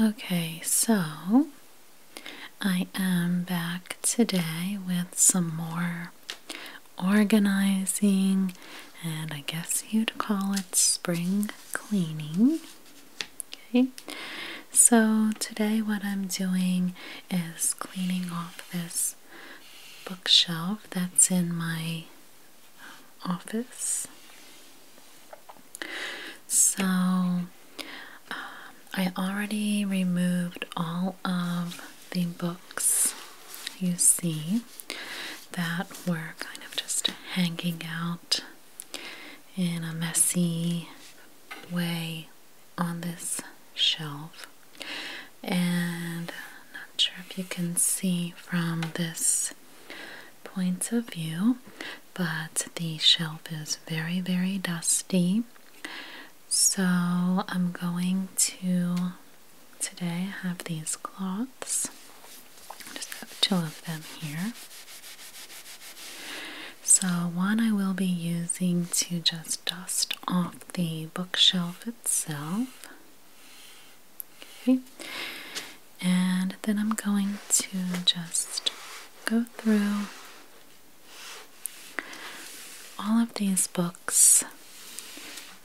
Okay, so I am back today with some more organizing and I guess you'd call it spring cleaning. Okay, so today what I'm doing is cleaning off this bookshelf that's in my office. So um, I already removed all of the books you see that were kind of just hanging out in a messy way on this shelf and not sure if you can see from this point of view but the shelf is very, very dusty. So I'm going to today have these cloths. just have two of them here. So one I will be using to just dust off the bookshelf itself. Okay and then I'm going to just go through all of these books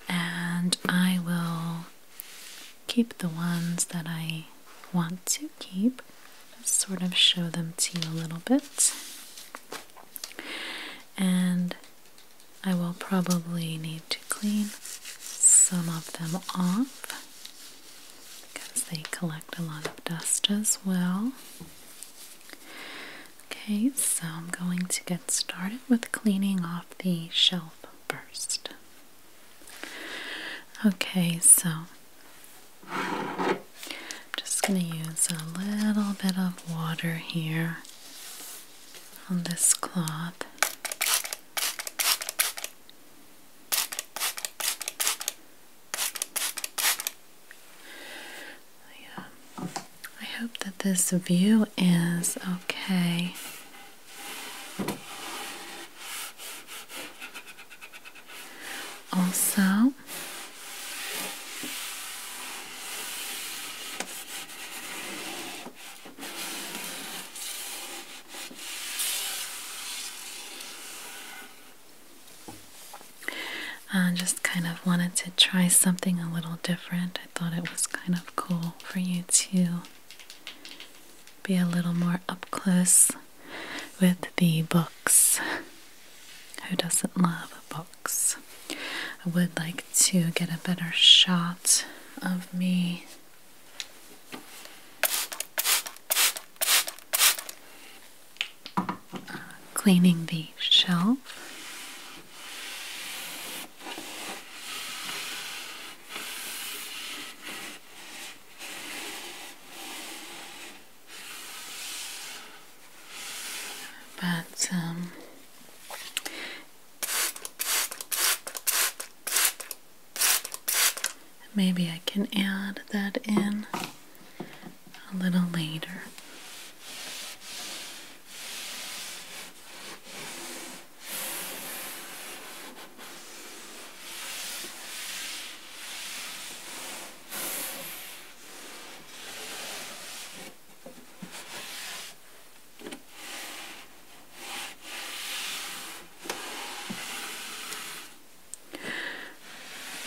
and I will keep the ones that I want to keep sort of show them to you a little bit and I will probably need to clean some of them off because they collect a lot of dust as well. Okay, so I'm going to get started with cleaning off the shelf first. Okay, so I'm just going to use a little bit of water here on this cloth. I, hope that this view is okay. Also, I just kind of wanted to try something a little different. I thought it was kind of cool for you to be a little more up close with the books. Who doesn't love books? I would like to get a better shot of me Cleaning the shelf. But um, Maybe I can add that in a little later.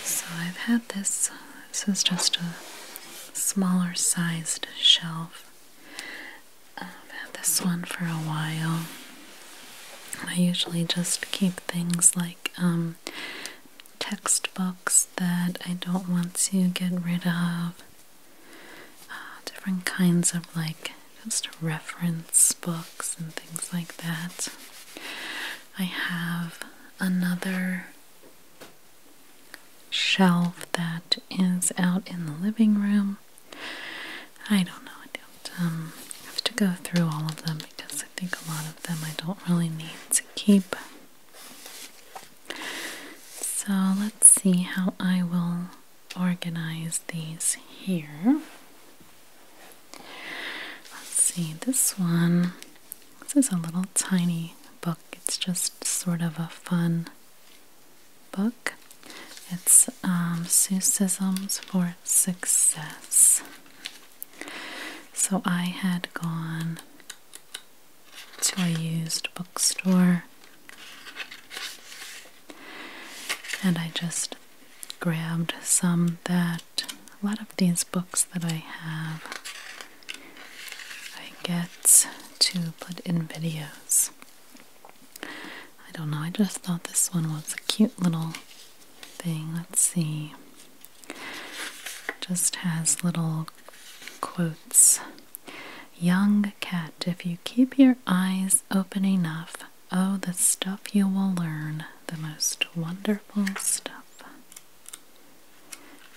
So I've had this, this is just a smaller sized shelf. I've had this one for a while. I usually just keep things like um, textbooks that I don't want to get rid of, uh, different kinds of like just reference books and things like that. I have another shelf that is out in the living room. I don't know. I don't um, have to go through all of them because I think a lot of them I don't really need to keep. So let's see how I will organize these here. Let's see, this one, this is a little tiny book. It's just sort of a fun book. It's um, for Success. So I had gone to a used bookstore and I just grabbed some that a lot of these books that I have I get to put in videos. I don't know, I just thought this one was a cute little thing. Let's see. Just has little quotes. Young cat, if you keep your eyes open enough, Oh, the stuff you will learn, the most wonderful stuff.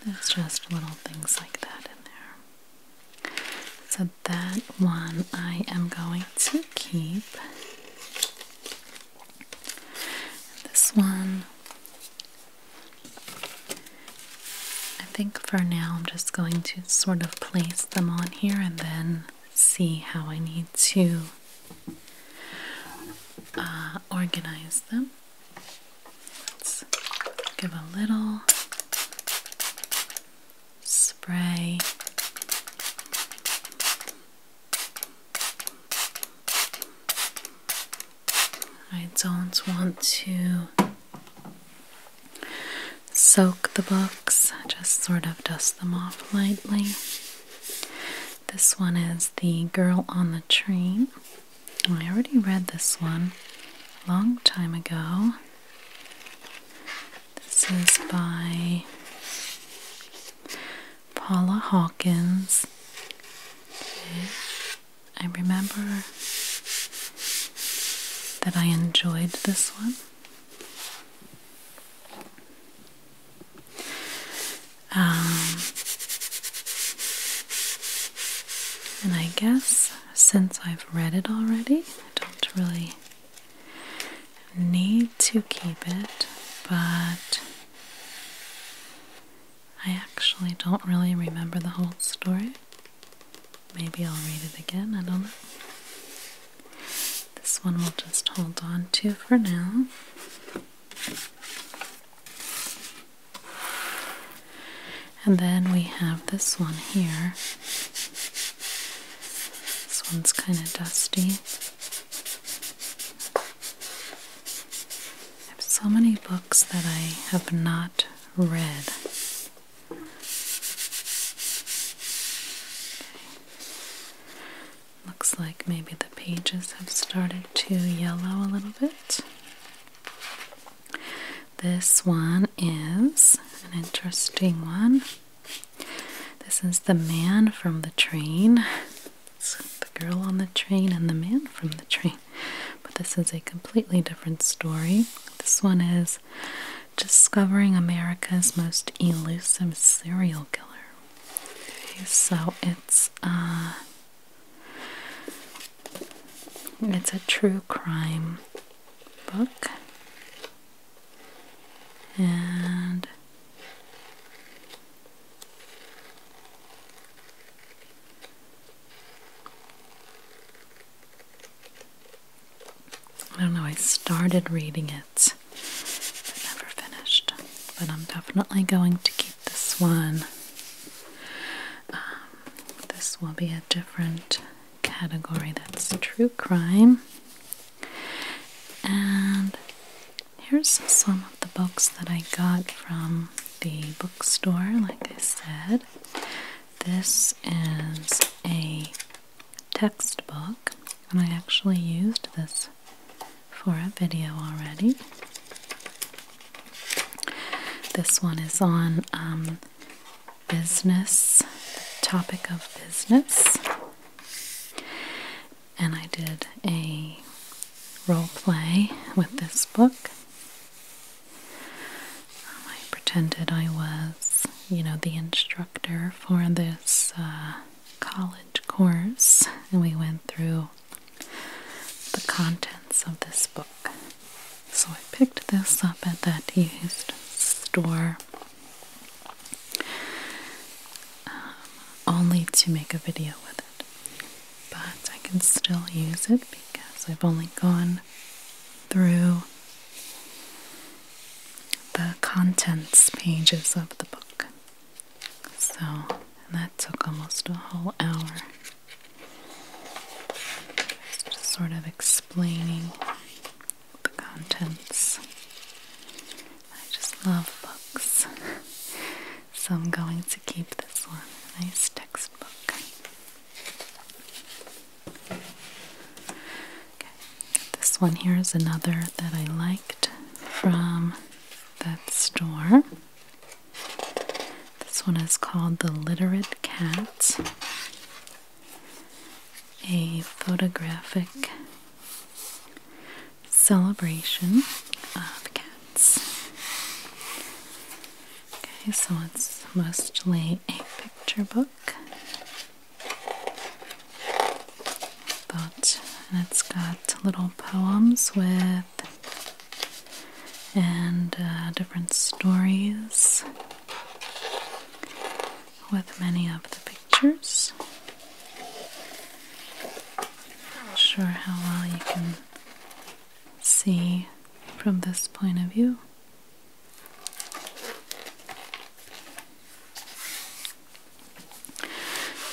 There's just little things like that in there. So, that one I am going to keep. This one, I think for now I'm just going to sort of place them on here and then see how I need to uh, organize them. Let's give a little spray. I don't want to soak the books, just sort of dust them off lightly. This one is The Girl on the Train. Oh, I already read this one a long time ago. This is by Paula Hawkins. I remember that I enjoyed this one. Um, and I guess since I've read it already, I don't really need to keep it, but I actually don't really remember the whole story. Maybe I'll read it again, I don't know. This one we'll just hold on to for now. And then we have this one here. This one's kind of dusty. I have so many books that I have not read. Looks like maybe the pages have started to yellow a little bit. This one is an interesting one. This is the man from the train. the girl on the train and the man from the train. But this is a completely different story. This one is Discovering America's Most Elusive Serial Killer. Okay, so it's uh it's a true crime book and I don't know, I started reading it I've never finished, but I'm definitely going to keep this one. Um, this will be a different category that's true crime. And here's some of the books that I got from the bookstore, like I said. This is a textbook, and I actually used this for a video already. This one is on um, business, topic of business. And I did a role play with this book. I pretended I was, you know, the instructor for this uh, college course, and we went through the contents of this book. So I picked this up at that used store um, only to make a video with it. But I can still use it because I've only gone through the contents pages of the book. So, that took almost a whole hour. Just sort of explaining the contents. I just love books. so I'm going to keep this one. A nice textbook. This one here is another that I liked from that store. This one is called The Literate Cat, a photographic celebration of cats. Okay, so it's mostly a picture book. But and it's got little poems with and uh, different stories with many of the pictures. Not sure how well you can see from this point of view.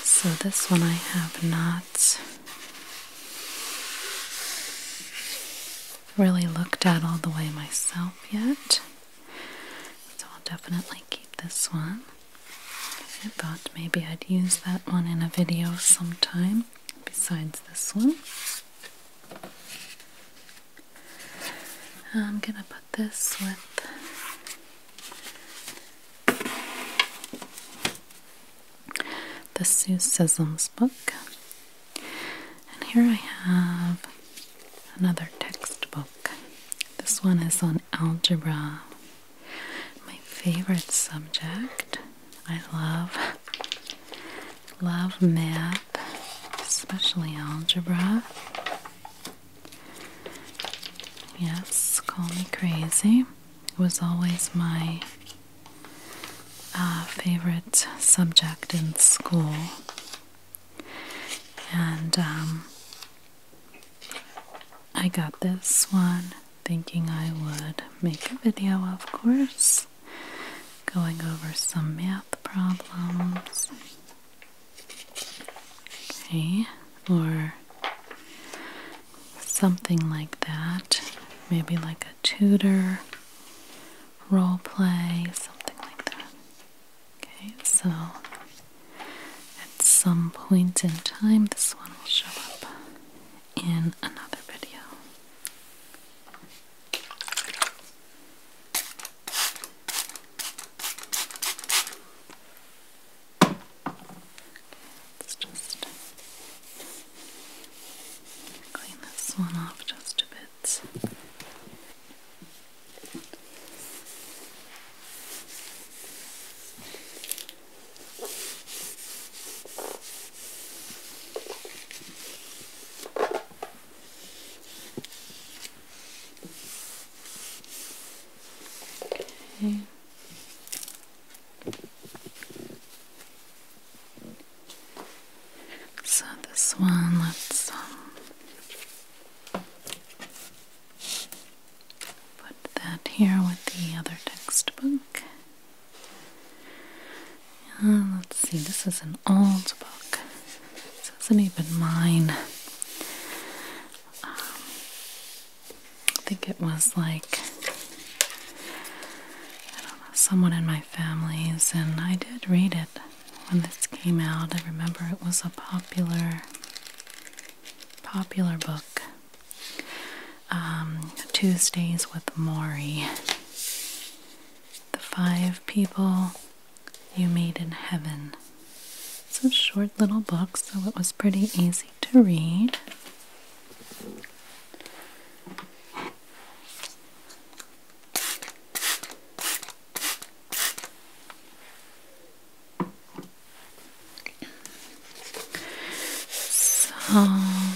So this one I have not really looked at all the way myself yet. So I'll definitely keep this one. I thought maybe I'd use that one in a video sometime besides this one. I'm gonna put this with the Sue book. And here I have another textbook. This one is on algebra, my favorite subject. I love love math, especially algebra. Yes, Call Me Crazy was always my uh, favorite subject in school. And um, I got this one thinking I would make a video, of course, going over some math problems okay, or something like that, maybe like a tutor role play, something like that. Okay, so at some point in time, this one will show up in another video let's just clean this one off just a bit. So this one, let's um, put that here with the other textbook. Uh, let's see, this is an old book. This isn't even mine. Um, I think it was like someone in my family's, and I did read it when this came out. I remember it was a popular, popular book. Um, Tuesdays with Maury. The Five People You Meet in Heaven it's a short little book, so it was pretty easy to read. So I'm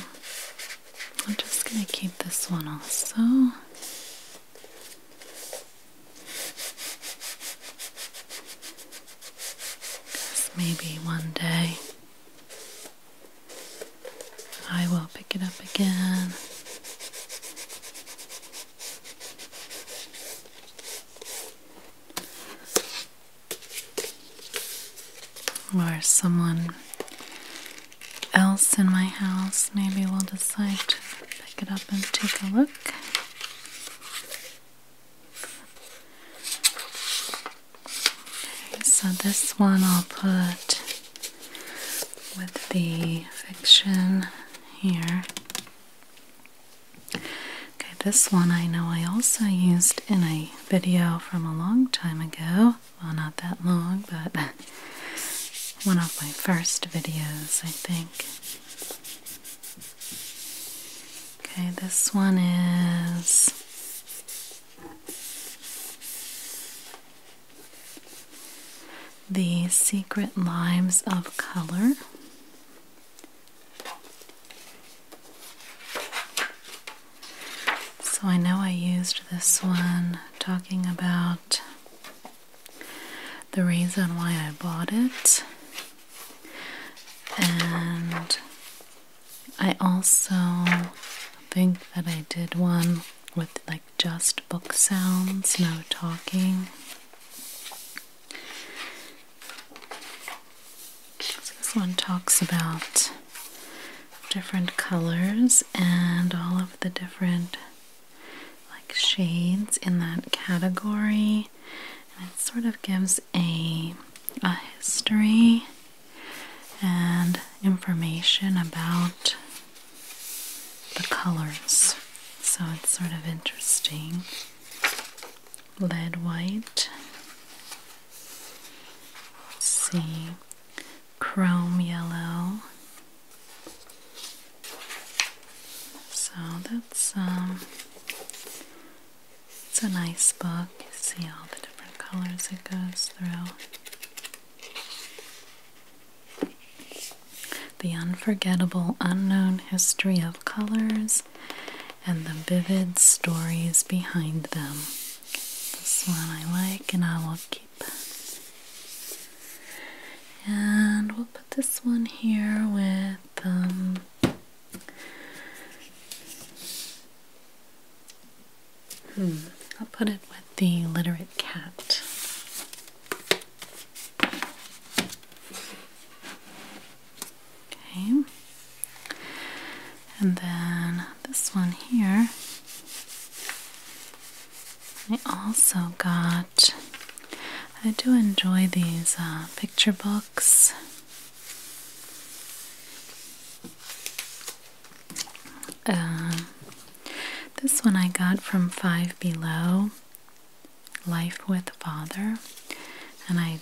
just going to keep this one also maybe one day I will pick it up again. Or someone else in my house maybe will decide to pick it up and take a look so this one I'll put with the fiction here. Okay, this one I know I also used in a video from a long time ago. Well, not that long, but one of my first videos, I think. Okay, this one is The Secret Lives of Color. So I know I used this one talking about the reason why I bought it and I also think that I did one with like just book sounds, no talking. this one talks about different colors and all of the different like shades in that category and it sort of gives a, a history and information about the colors. So it's sort of interesting. Lead white. let see. Chrome yellow. So that's um it's a nice book. You see all the different colors it goes through. The Unforgettable Unknown History of Colors and the Vivid Stories Behind Them. This one I like and I will keep. And we'll put this one here with them. Um, Hmm, I'll put it with the literate cat. Okay. And then this one here, I also got. I do enjoy these uh, picture books. Uh, this one I got from Five Below Life with Father, and I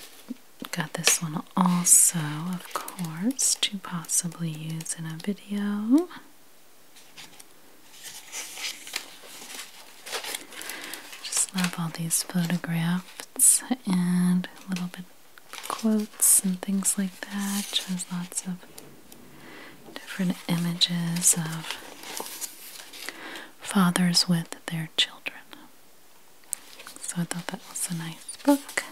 got this one also, of course, to possibly use in a video. Just love all these photographs and little bit quotes and things like that. Just lots of different images of fathers with their children. So I thought that was a nice book.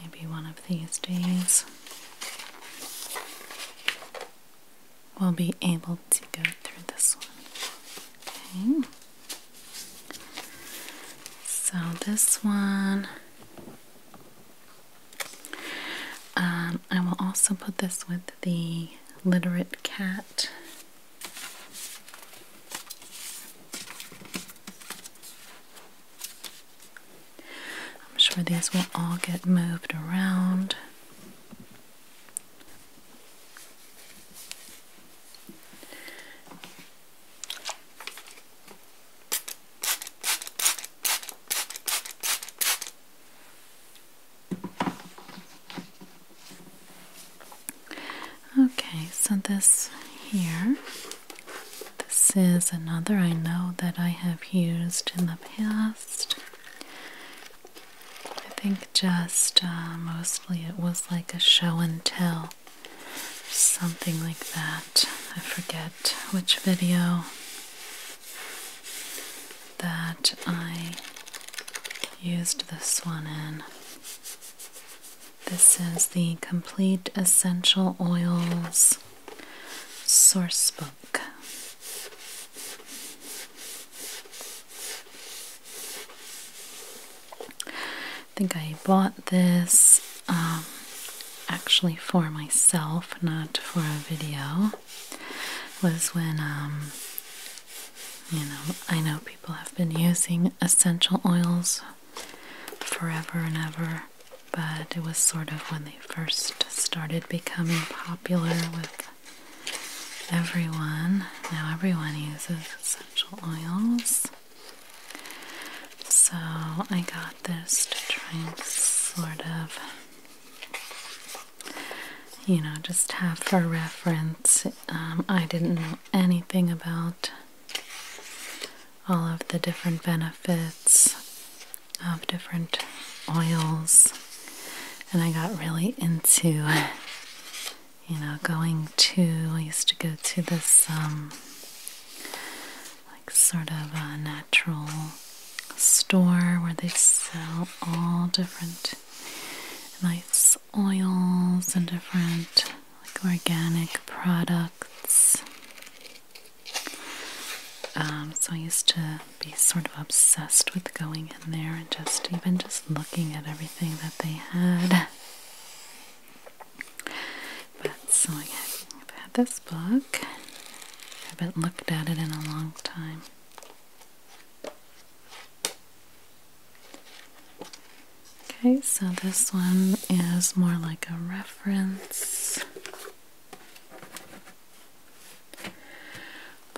Maybe one of these days will be able to go through this one. Okay. So this one, um, I will also put this with the literate cat. I'm sure these will all get moved around. Okay, so this here, this is another I know that I have used in the past. I think just uh, mostly it was like a show and tell, something like that. I forget which video that I used this one in. This is the Complete Essential Oils Sourcebook. I think I bought this um, actually for myself, not for a video. Was when, um, you know, I know people have been using essential oils forever and ever, but it was sort of when they first started becoming popular with everyone, now everyone uses essential oils. So I got this to try and sort of, you know, just have for reference. Um, I didn't know anything about all of the different benefits of different oils and I got really into, you know, going to. I used to go to this, um, like, sort of a natural store where they sell all different nice oils and different, like, organic products. Um, so I used to be sort of obsessed with going in there and just even just looking at everything that they had. But so I had this book. I haven't looked at it in a long time. Okay, so this one is more like a reference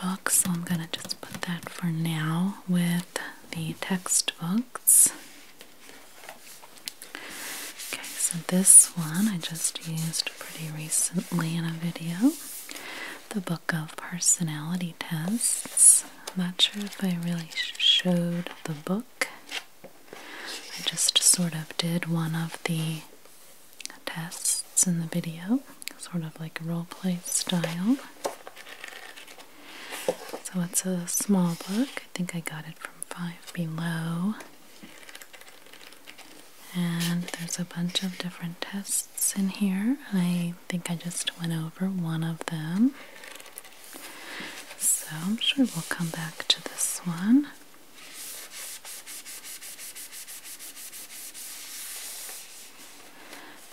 book, so I'm going to just put that for now with the textbooks. Okay, so this one I just used pretty recently in a video the book of personality tests. I'm not sure if I really showed the book. I just sort of did one of the tests in the video sort of like a role play style. So it's a small book. I think I got it from Five Below. And there's a bunch of different tests in here. I think I just went over one of them. So I'm sure we'll come back to this one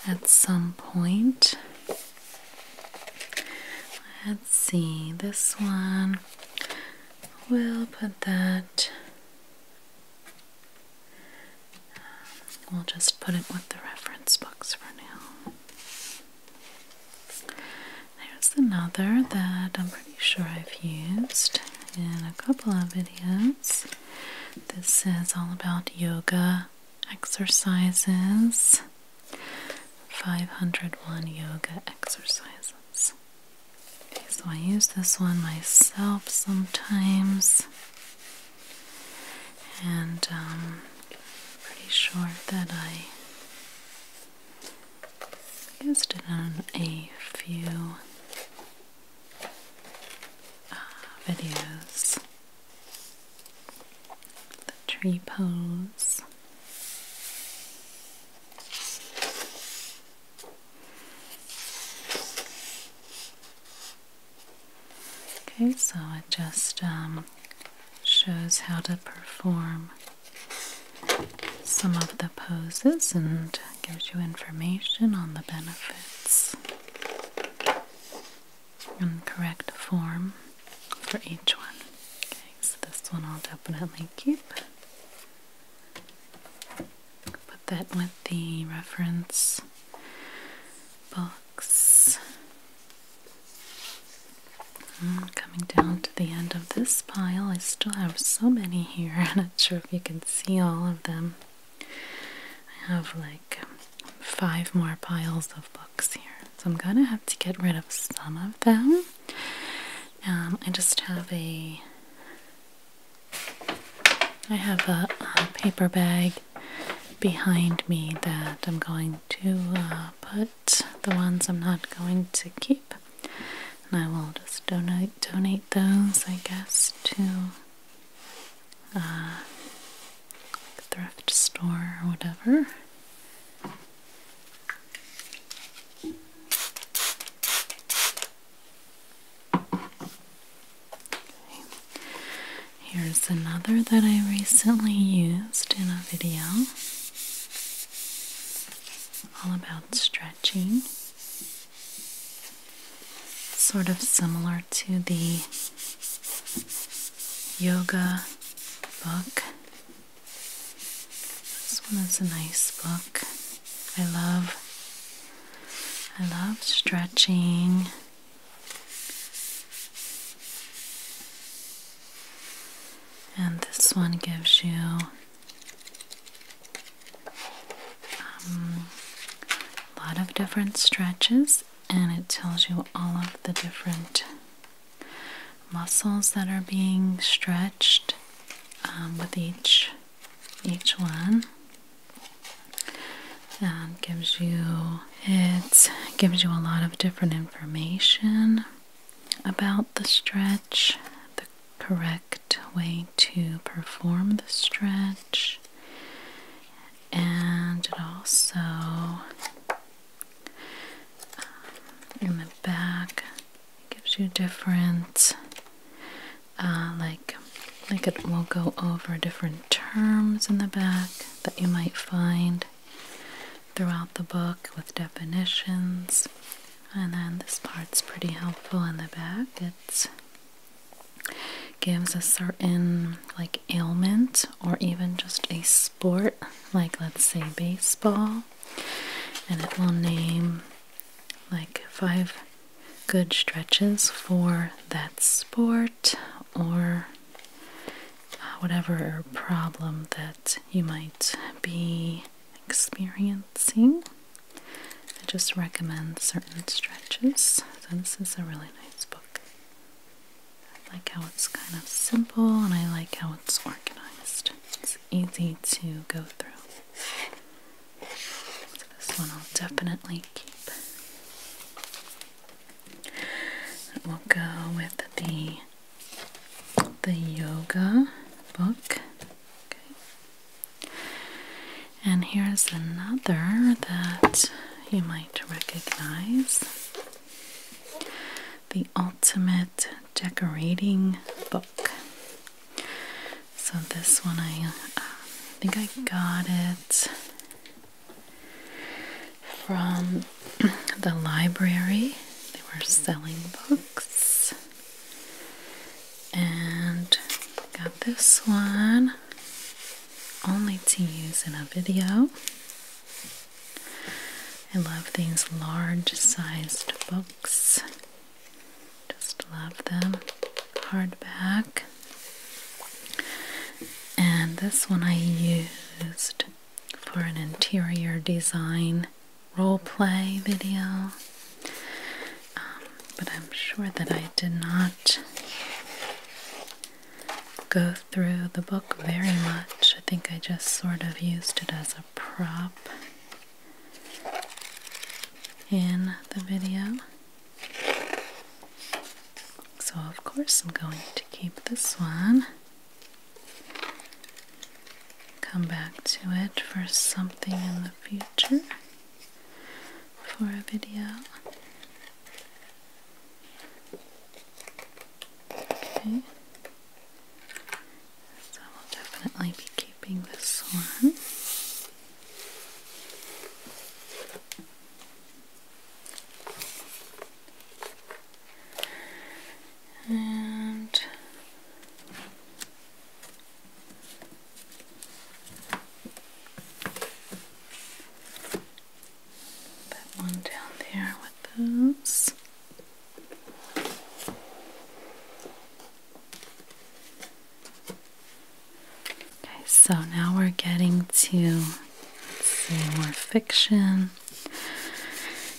at some point. Let's see, this one, we'll put that, we'll just put it with the reference books for now. There's another that I'm pretty sure I've used in a couple of videos. This is all about yoga exercises. 501 yoga exercises. so I use this one myself sometimes, and um, pretty sure that I used it on a few uh, videos. The tree pose. Okay, so it just um, shows how to perform some of the poses and gives you information on the benefits and correct form for each one. Okay, so this one I'll definitely keep. Put that with the reference books. Hmm, coming down to the end of this pile, I still have so many here. I'm not sure if you can see all of them. I have like five more piles of books here. So I'm gonna have to get rid of some of them. Um, I just have a I have a, paper bag behind me that I'm going to uh, put the ones I'm not going to keep, and I will just donate donate those, I guess, to uh, like thrift store or whatever. Here's another that I recently used in a video all about stretching sort of similar to the yoga book. This one is a nice book. I love I love stretching. And this one gives you um, a lot of different stretches and it tells you all of the different muscles that are being stretched um, with each each one and gives you it gives you a lot of different information about the stretch the correct way to perform the stretch and it also um, in the back gives you different uh, like like it will go over different terms in the back that you might find throughout the book with definitions and then this part's pretty helpful in the back it's gives a certain like ailment or even just a sport, like let's say baseball, and it will name like five good stretches for that sport or uh, whatever problem that you might be experiencing. I just recommend certain stretches. So, this is a really nice book. I like how it's kind of simple and I like how it's organized. It's easy to go through. So this one I'll definitely keep. And we'll go with the the yoga book. Okay. And here's another that you might recognize The Ultimate Decorating Book. So, this one I uh, think I got it from the library. They were selling books. And got this one only to use in a video. I love these large sized books. Just love them. Hardback. And this one I used for an interior design role play video. Um, but I'm sure that I did not go through the book very much. I think I just sort of used it as a prop in the video. So, of course, I'm going to keep this one. Come back to it for something in the future for a video. Okay. So we'll definitely be keeping this one. And Put one down there with those. Okay, so now we're getting to see more fiction.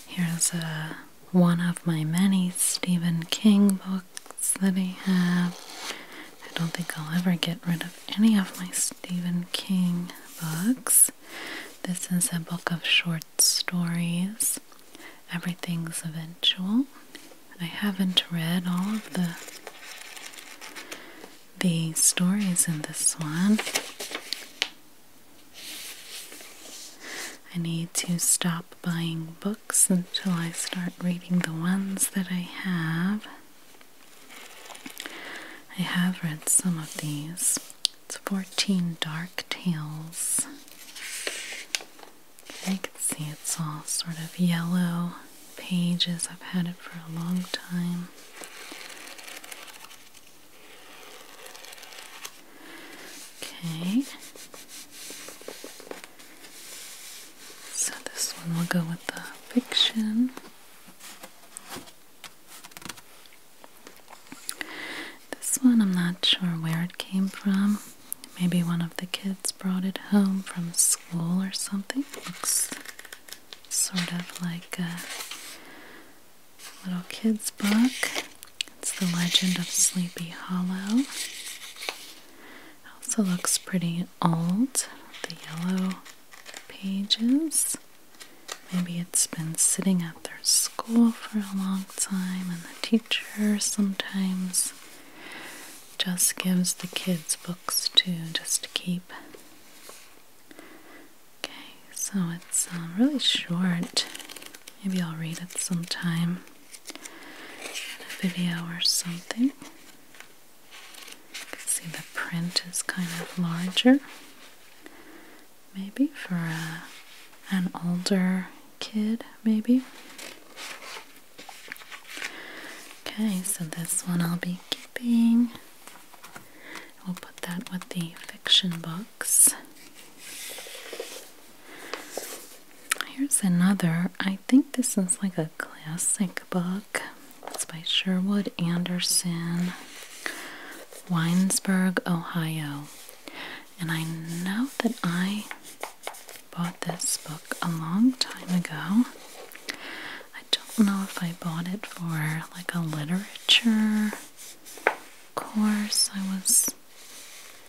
Here's a one of my many Stephen King books that I have. I don't think I'll ever get rid of any of my Stephen King books. This is a book of short stories. Everything's eventual. I haven't read all of the the stories in this one. I need to stop buying books until I start reading the ones that I have. I have read some of these. It's 14 Dark Tales. I can see it's all sort of yellow pages. I've had it for a long time. Okay. So this one will go with the fiction. This one, I'm not sure where it came from. Maybe one of the kids brought it home from school or something. looks sort of like a little kid's book. It's The Legend of Sleepy Hollow. Also looks pretty old. The yellow pages. Maybe it's been sitting at their school for a long time, and the teacher sometimes just gives the kids books to just keep. Okay, so it's uh, really short. Maybe I'll read it sometime in a video or something see the print is kind of larger. Maybe for a, uh, an older kid, maybe. Okay, so this one I'll be keeping. We'll put that with the fiction books. Here's another. I think this is like a classic book. It's by Sherwood Anderson, Winesburg, Ohio. And I know that I bought this book a long time ago. I don't know if I bought it for like a literature course I was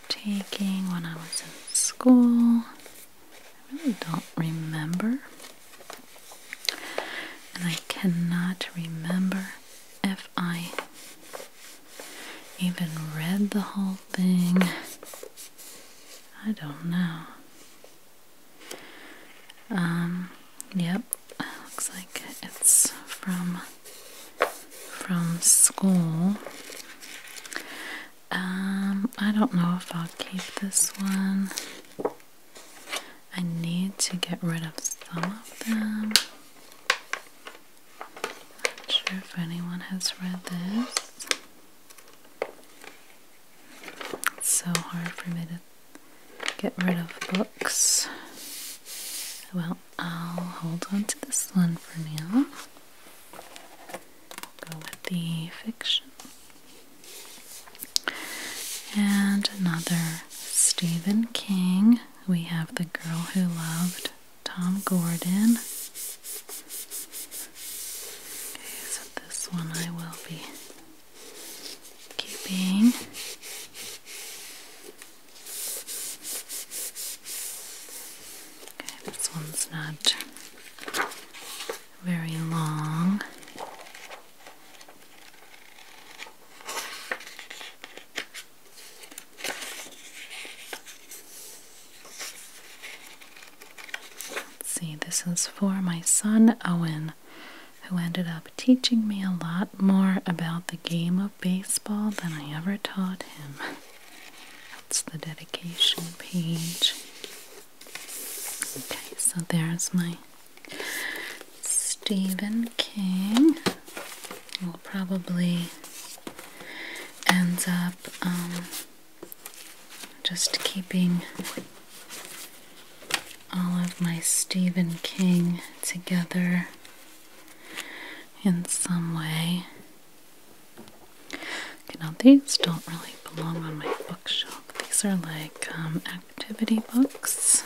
taking when I was in school. I really don't remember. And I cannot remember if I even read the whole thing. I don't know. Um, yep. Looks like it's from from school. Um, I don't know if I'll keep this one. I need to get rid of some of them. Not sure if anyone has read this. It's so hard for me to get rid of books. Well, I'll hold on to this one for now. We'll Go with the fiction. And another Stephen King. We have The Girl Who Loved Tom Gordon. Okay, so this one I will be keeping. Okay, this one's not very long. Let's see, this is for my son Owen, who ended up teaching me a lot more about the game of baseball than I ever taught him. That's the dedication page. Okay, so there's my Stephen King. Will probably end up um, just keeping all of my Stephen King together in some way. Okay, now these don't really belong on my bookshelf. These are like um, activity books.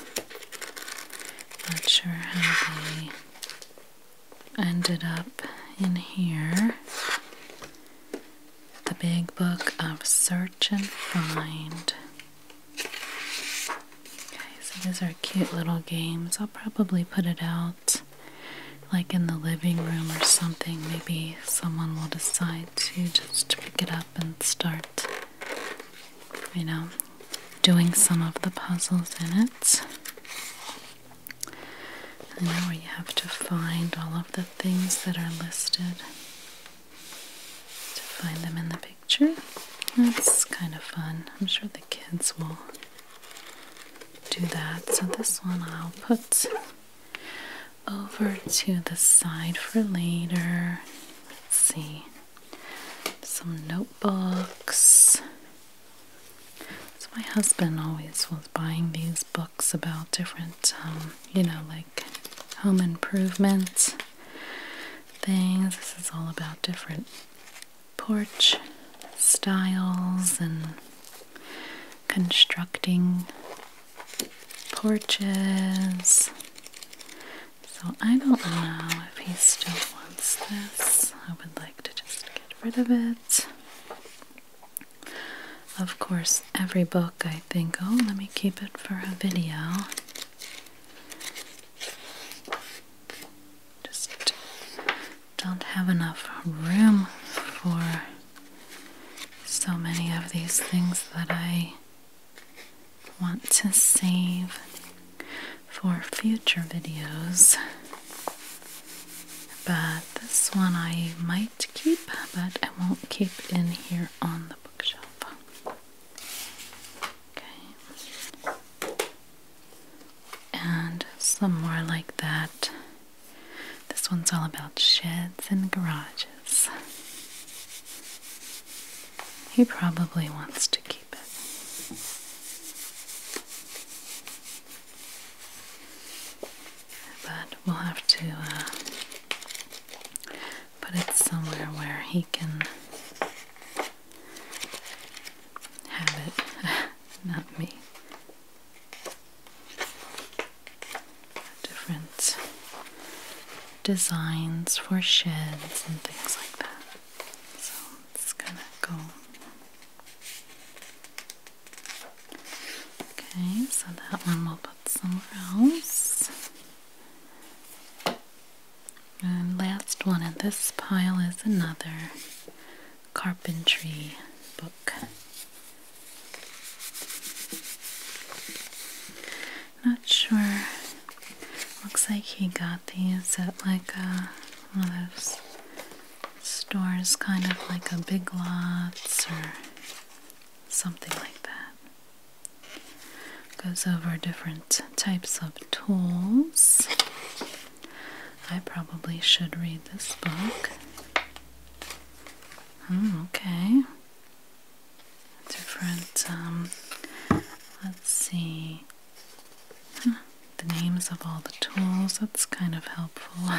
Not sure how they ended up in here. The Big Book of Search and Find. Okay, so these are cute little games. I'll probably put it out like in the living room or something. Maybe someone will decide to just pick it up and start, you know, doing some of the puzzles in it. And where you have to find all of the things that are listed to find them in the picture. That's kind of fun. I'm sure the kids will do that. So this one I'll put over to the side for later. Let's see. Some notebooks. So, my husband always was buying these books about different, um, you know, like home improvements things. This is all about different porch styles and constructing porches. So I don't know if he still wants this. I would like to just get rid of it. Of course, every book I think, oh, let me keep it for a video. Just don't have enough room for so many of these things that I want to save for future videos. But this one I might keep, but I won't keep in here on the bookshelf. Okay. And some more like that. This one's all about sheds and garages. He probably wants to keep it. But we'll have to uh, put it somewhere where he can have it, not me different designs for sheds and things like that. So it's gonna go. Okay, so that one we'll put somewhere else. last one in this pile is another carpentry book. Not sure. Looks like he got these at like a, uh, one of those stores, kind of like a Big Lots or something like that. Goes over different types of tools. I probably should read this book. Hmm, okay different, um, let's see, the names of all the tools. That's kind of helpful.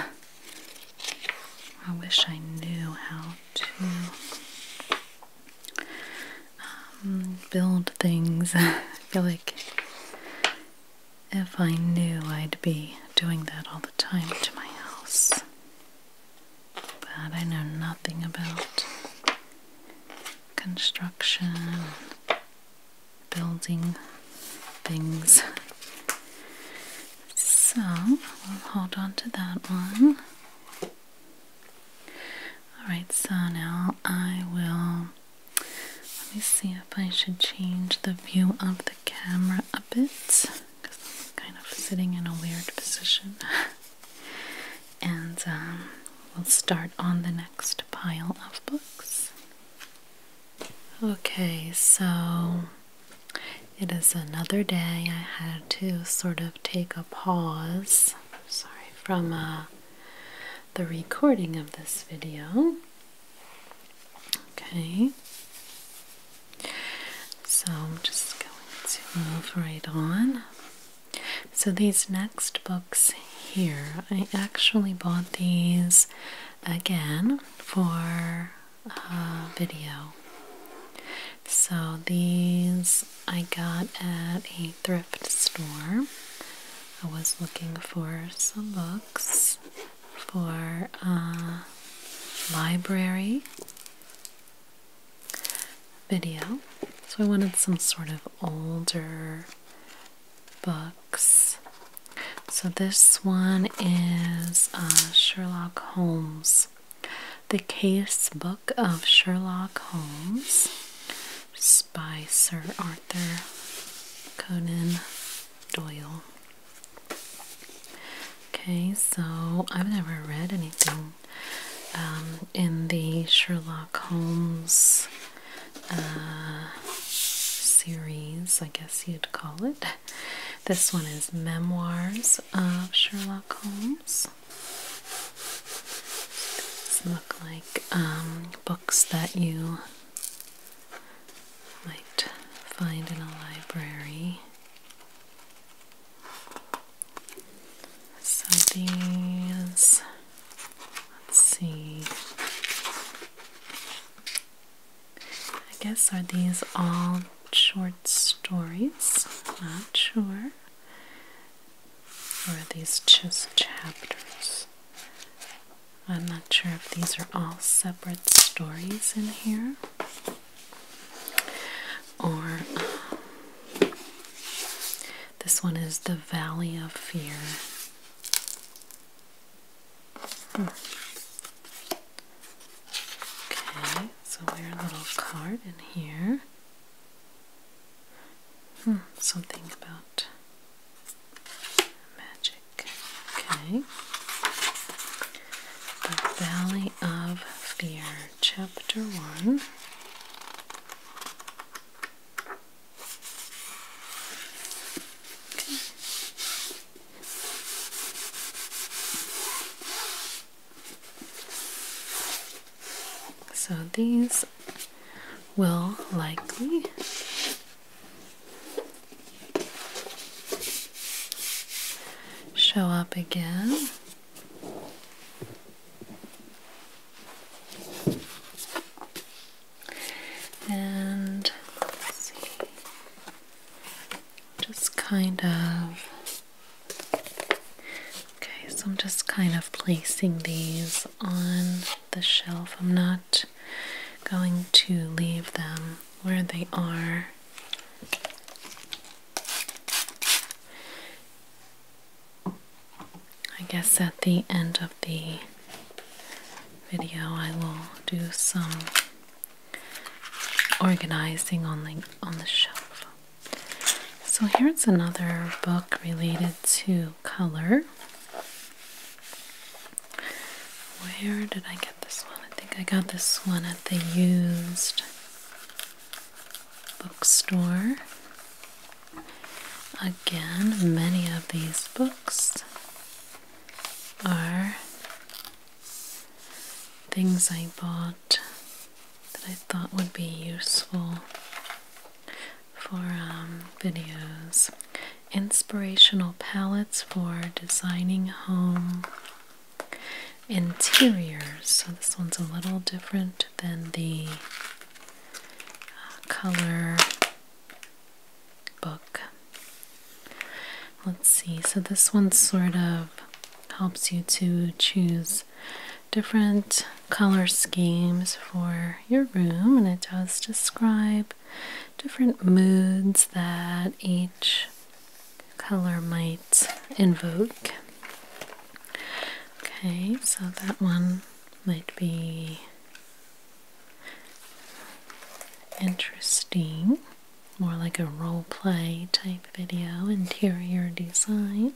I wish I knew how to um, build things. I feel like if I knew, I'd be doing that all the time to my house. But I know nothing about construction, building things. So we'll hold on to that one. Alright, so now I will. Let me see if I should change the view of the camera a bit because I'm kind of sitting in a weird position. and um, we'll start on the next pile of books. Okay, so it is another day. I had to sort of take a pause, sorry, from uh, the recording of this video. Okay, so I'm just going to move right on. So, these next books here, I actually bought these again for video. So, these I got at a thrift store. I was looking for some books for a library video. So I wanted some sort of older books. So this one is uh, Sherlock Holmes, The Case Book of Sherlock Holmes by Sir Arthur Conan Doyle. Okay, so I've never read anything um, in the Sherlock Holmes uh, series, I guess you'd call it. This one is Memoirs of Sherlock Holmes. look like um, books that you might find in a library. So these, let's see, I guess are these all short stories? Not sure. are these just chapters? I'm not sure if these are all separate stories in here. Or um, this one is The Valley of Fear. Hmm. Okay, so we're a little card in here. Hmm, something about magic. Okay. The Valley of Fear chapter one. So these will likely show up again and see, just kind of. Okay, so I'm just kind of placing these on the shelf. I'm not going to leave them where they are. I guess at the end of the video, I will do some organizing on the on the shelf. So here's another book related to color. Where did I get this one? I think I got this one at the used bookstore. Again, many of these books are things I bought that I thought would be useful for um, videos. Inspirational palettes for designing home interiors. So this one's a little different than the uh, color book. Let's see, so this one sort of helps you to choose different color schemes for your room, and it does describe different moods that each color might invoke. Okay, so that one might be interesting. More like a role play type video, interior design.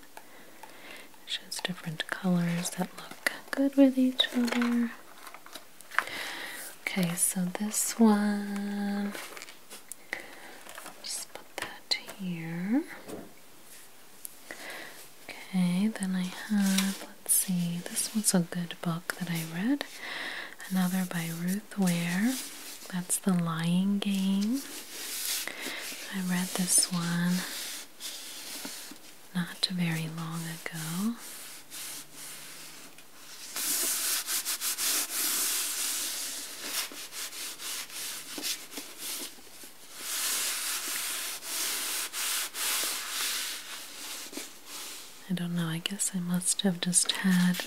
It shows different colors that look good with each other. Okay, so this one, just put that here. Okay, then I have, let's see, this was a good book that I read. Another by Ruth Ware. That's The Lying Game. I read this one not very long ago. I don't know, I guess I must have just had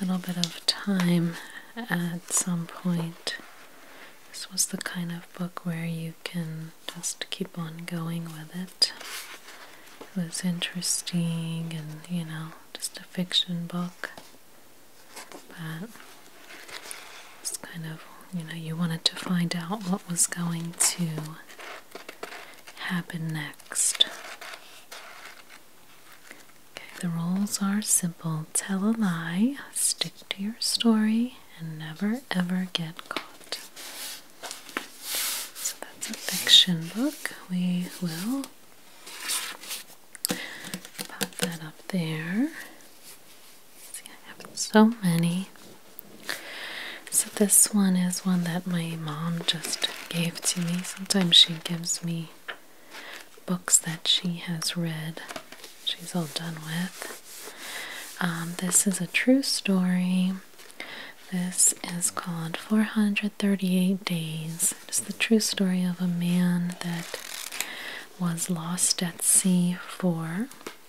a little bit of time at some point. This was the kind of book where you can just keep on going with it. It was interesting and, you know, just a fiction book but it's kind of, you know, you wanted to find out what was going to happen next. Okay, the rules are simple tell a lie, stick to your story, and never ever get caught. So that's a fiction book. We will Pop that up there. See, I have so many. So, this one is one that my mom just gave to me. Sometimes she gives me books that she has read, she's all done with. Um, this is a true story. This is called 438 Days. It's the true story of a man that was lost at sea for,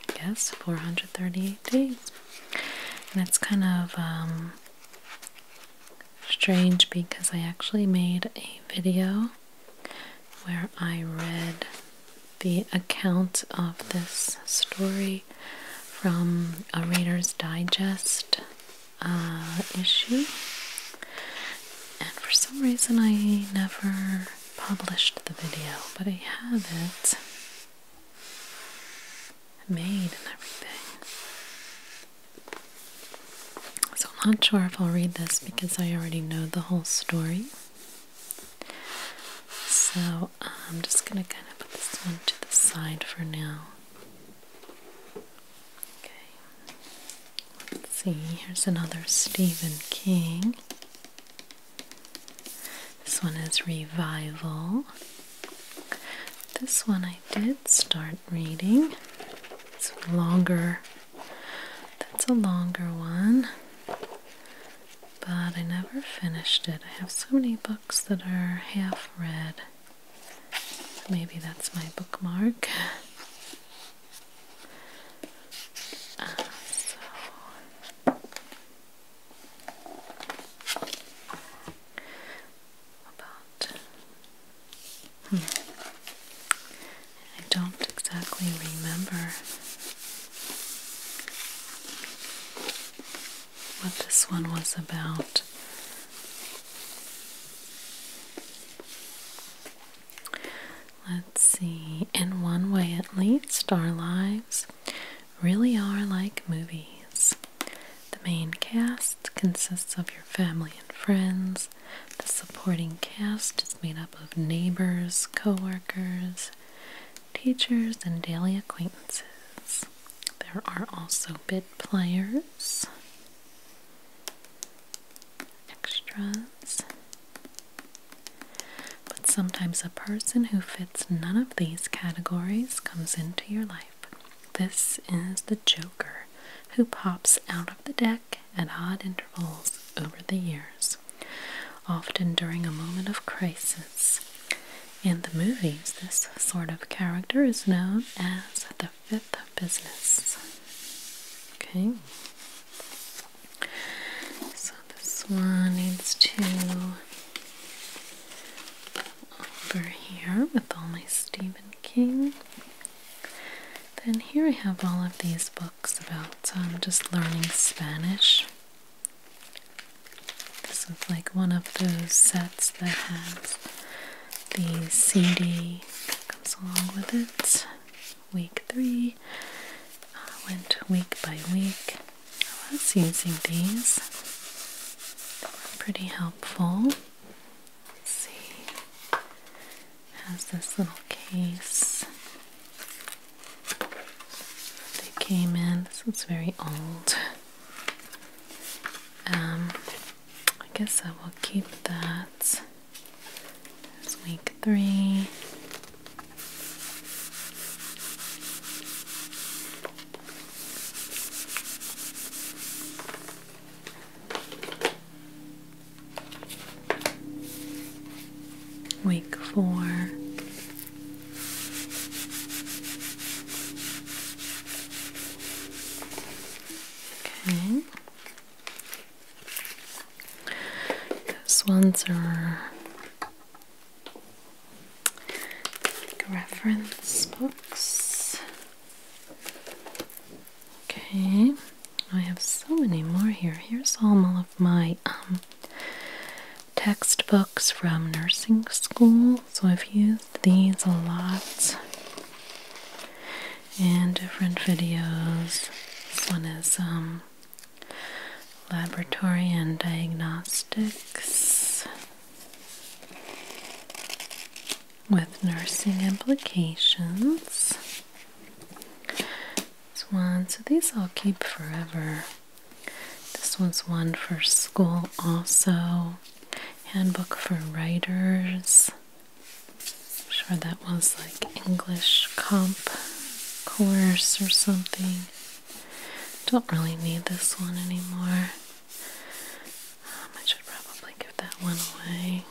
I guess, 438 days. And it's kind of um, strange because I actually made a video where I read the account of this story from a Reader's Digest uh, issue and for some reason I never published the video, but I have it made and everything. So I'm not sure if I'll read this because I already know the whole story. So I'm just going to kind of put this one to the side for now. Okay. Let's see, here's another Stephen King. This one is Revival. This one I did start reading. It's longer. That's a longer one. But I never finished it. I have so many books that are half read. Maybe that's my bookmark. about hmm. I don't exactly remember what this one was about. Let's see, in one way at least, our lives really are like movies. The main cast consists of your family and friends. The supporting cast is made up of neighbors, co workers, teachers, and daily acquaintances. There are also bit players extras. But sometimes a person who fits none of these categories comes into your life. This is the Joker, who pops out of the deck at odd intervals over the years, often during a moment of crisis. In the movies, this sort of character is known as the fifth business. Okay. So this one needs to over here with all my Stephen King. Then here we have all of these books about I'm um, just learning Spanish. This is like one of those sets that has the CD that comes along with it week three. went week by week. I was using these. pretty helpful. see. has this little case. They came in. This is very old. Um, I guess I will keep that week three. Week four. Okay. Those ones are reference books. Okay, I have so many more here. Here's all of my um, textbooks from nursing school, so I've used these a lot in different videos. This one is um, Laboratory and Diagnostics with Nursing Implications. This one, so these I'll keep forever. This one's one for school, also. Handbook for Writers. I'm sure that was like English comp course or something. Don't really need this one anymore. Um, I should probably give that one away.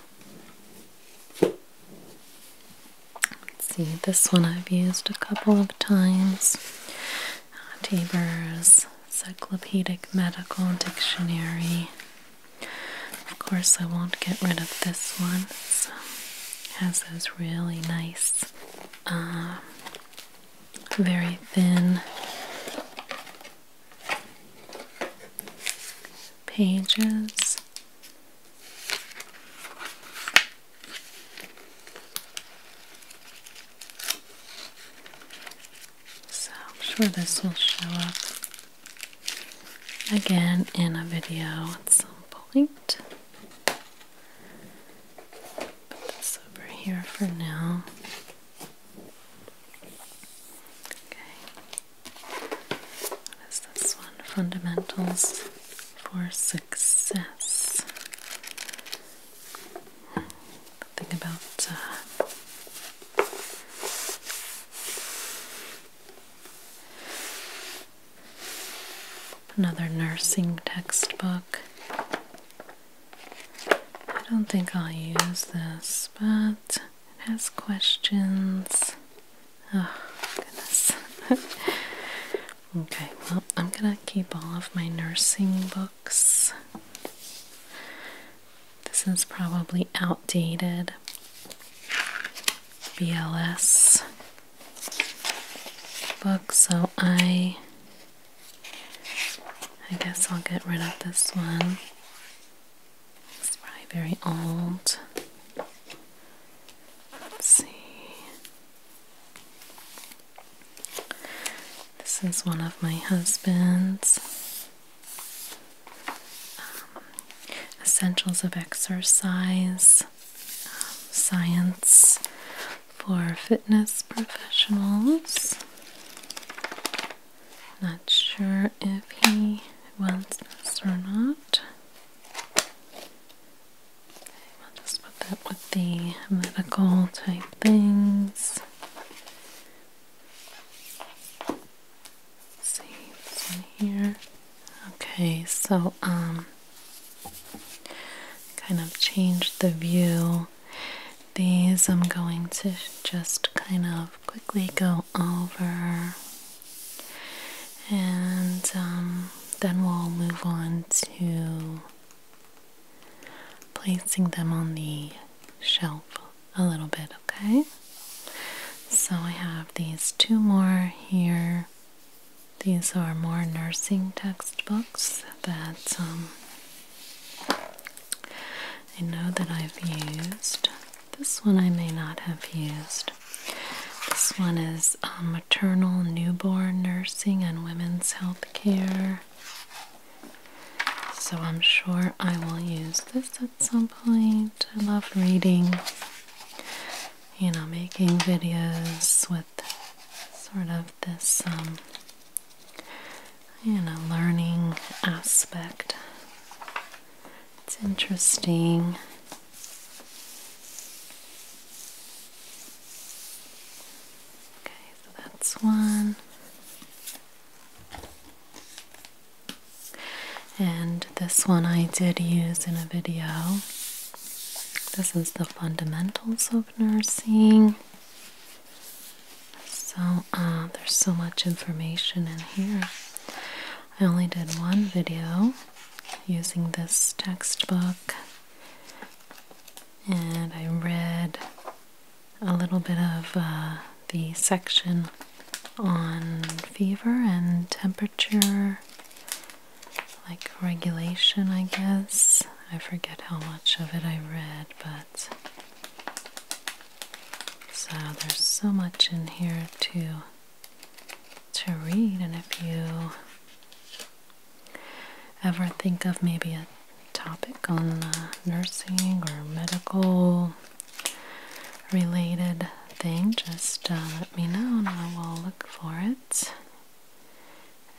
Let's see, this one I've used a couple of times. Uh, Cyclopedic Medical Dictionary. Of course, I won't get rid of this one has those really nice, um, very thin pages. So I'm sure this will show up again in a video at some point. Put this over here for now. Okay. What is this one? Fundamentals for Success. Something about uh, Another nursing textbook. I don't think I'll use this, but it has questions. Oh, goodness. okay, well, I'm gonna keep all of my nursing books. This is probably outdated. BLS book, so I I guess I'll get rid of this one. It's probably very old. Let's see. This is one of my husband's um, Essentials of Exercise. Science for Fitness Professionals. Not sure if he wants this or not. I'll just put that with the medical type things. Let's see in here. Okay, so um kind of change the view. These I'm going to just kind of quickly go over and um, then we'll move on to placing them on the shelf a little bit, okay? So I have these two more here. These are more nursing textbooks that um, I know that I've used. This one I may not have used. This one is um, Maternal Newborn Nursing and Women's Health Care. So I'm sure I will use this at some point. I love reading you know, making videos with sort of this, um, you know, learning aspect. It's interesting. Okay, so that's one and this one I did use in a video. This is the fundamentals of nursing. So, uh, there's so much information in here. I only did one video using this textbook, and I read a little bit of uh, the section on fever and temperature like regulation, I guess. I forget how much of it I read, but so there's so much in here to to read and if you ever think of maybe a topic on uh, nursing or medical related thing, just uh, let me know and I will look for it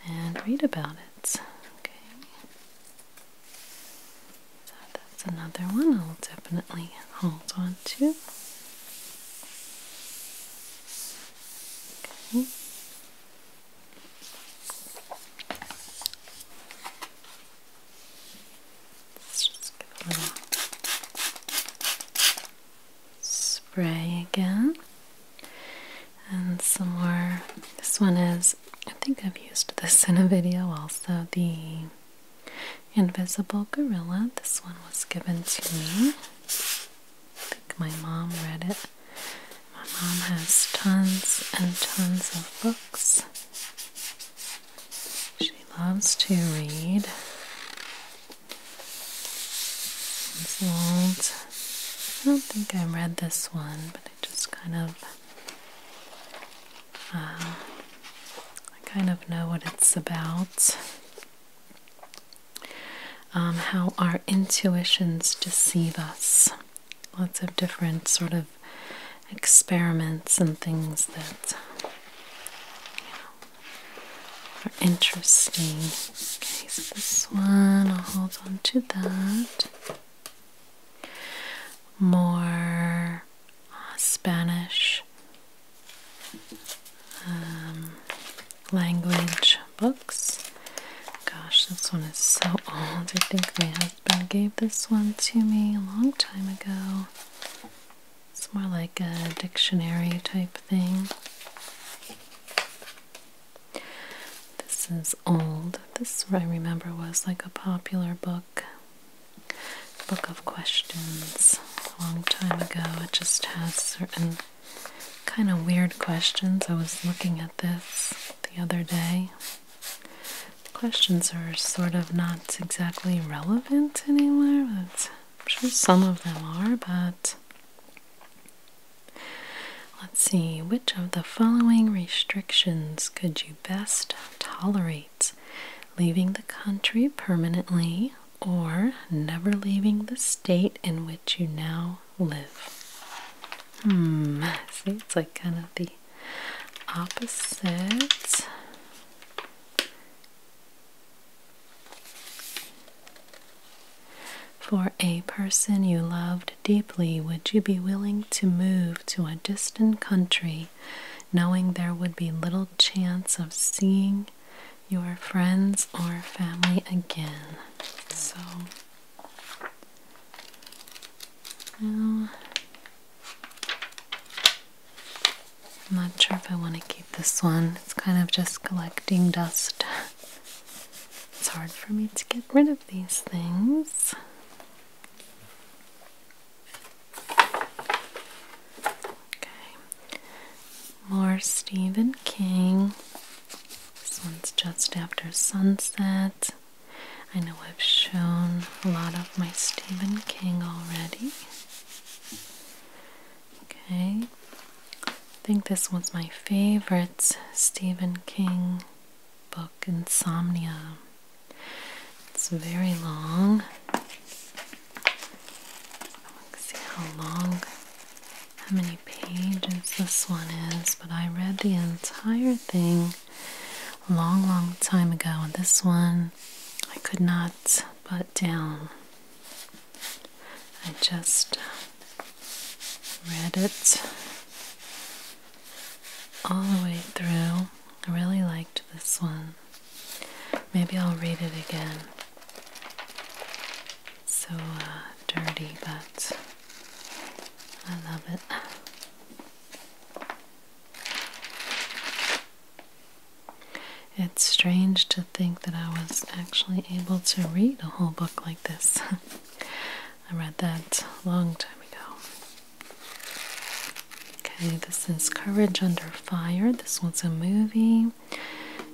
and read about it. Okay. So that's another one. I'll definitely hold on to. Okay spray again. And some more. This one is, I think I've used this in a video also, the Invisible Gorilla. This one was given to me. I think my mom read it. My mom has tons and tons of books. She loves to read. These I don't think I read this one, but I just kind of, uh, I kind of know what it's about. Um, how our intuitions deceive us. Lots of different sort of experiments and things that are interesting. Okay, so this one, I'll hold on to that. More uh, Spanish um, language books. Gosh, this one is so old. I think my husband gave this one to me a long time ago. It's more like a dictionary type thing. This is old. This I remember was like a popular book, book of questions, a long time ago. It just has certain kind of weird questions. I was looking at this the other day. questions are sort of not exactly relevant anymore, but I'm sure some of them are, but let's see, which of the following restrictions could you best tolerate? Leaving the country permanently or never leaving the state in which you now live? Hmm, see, it's like kind of the opposite. For a person you loved deeply, would you be willing to move to a distant country, knowing there would be little chance of seeing your friends or family again? So, I'm not sure if I want to keep this one. It's kind of just collecting dust. It's hard for me to get rid of these things. Okay. More Stephen King. This one's just after sunset. I know I've shown a lot of my Stephen King already. Okay. I think this was my favorite Stephen King book, Insomnia. It's very long. see how long, how many pages this one is, but I read the entire thing a long, long time ago, and this one I could not put down. I just uh, read it all the way through. I really liked this one. Maybe I'll read it again. So uh, dirty, but I love it. It's strange to think that I was actually able to read a whole book like this. I read that a long time ago. Okay, this is Courage Under Fire. This one's a movie.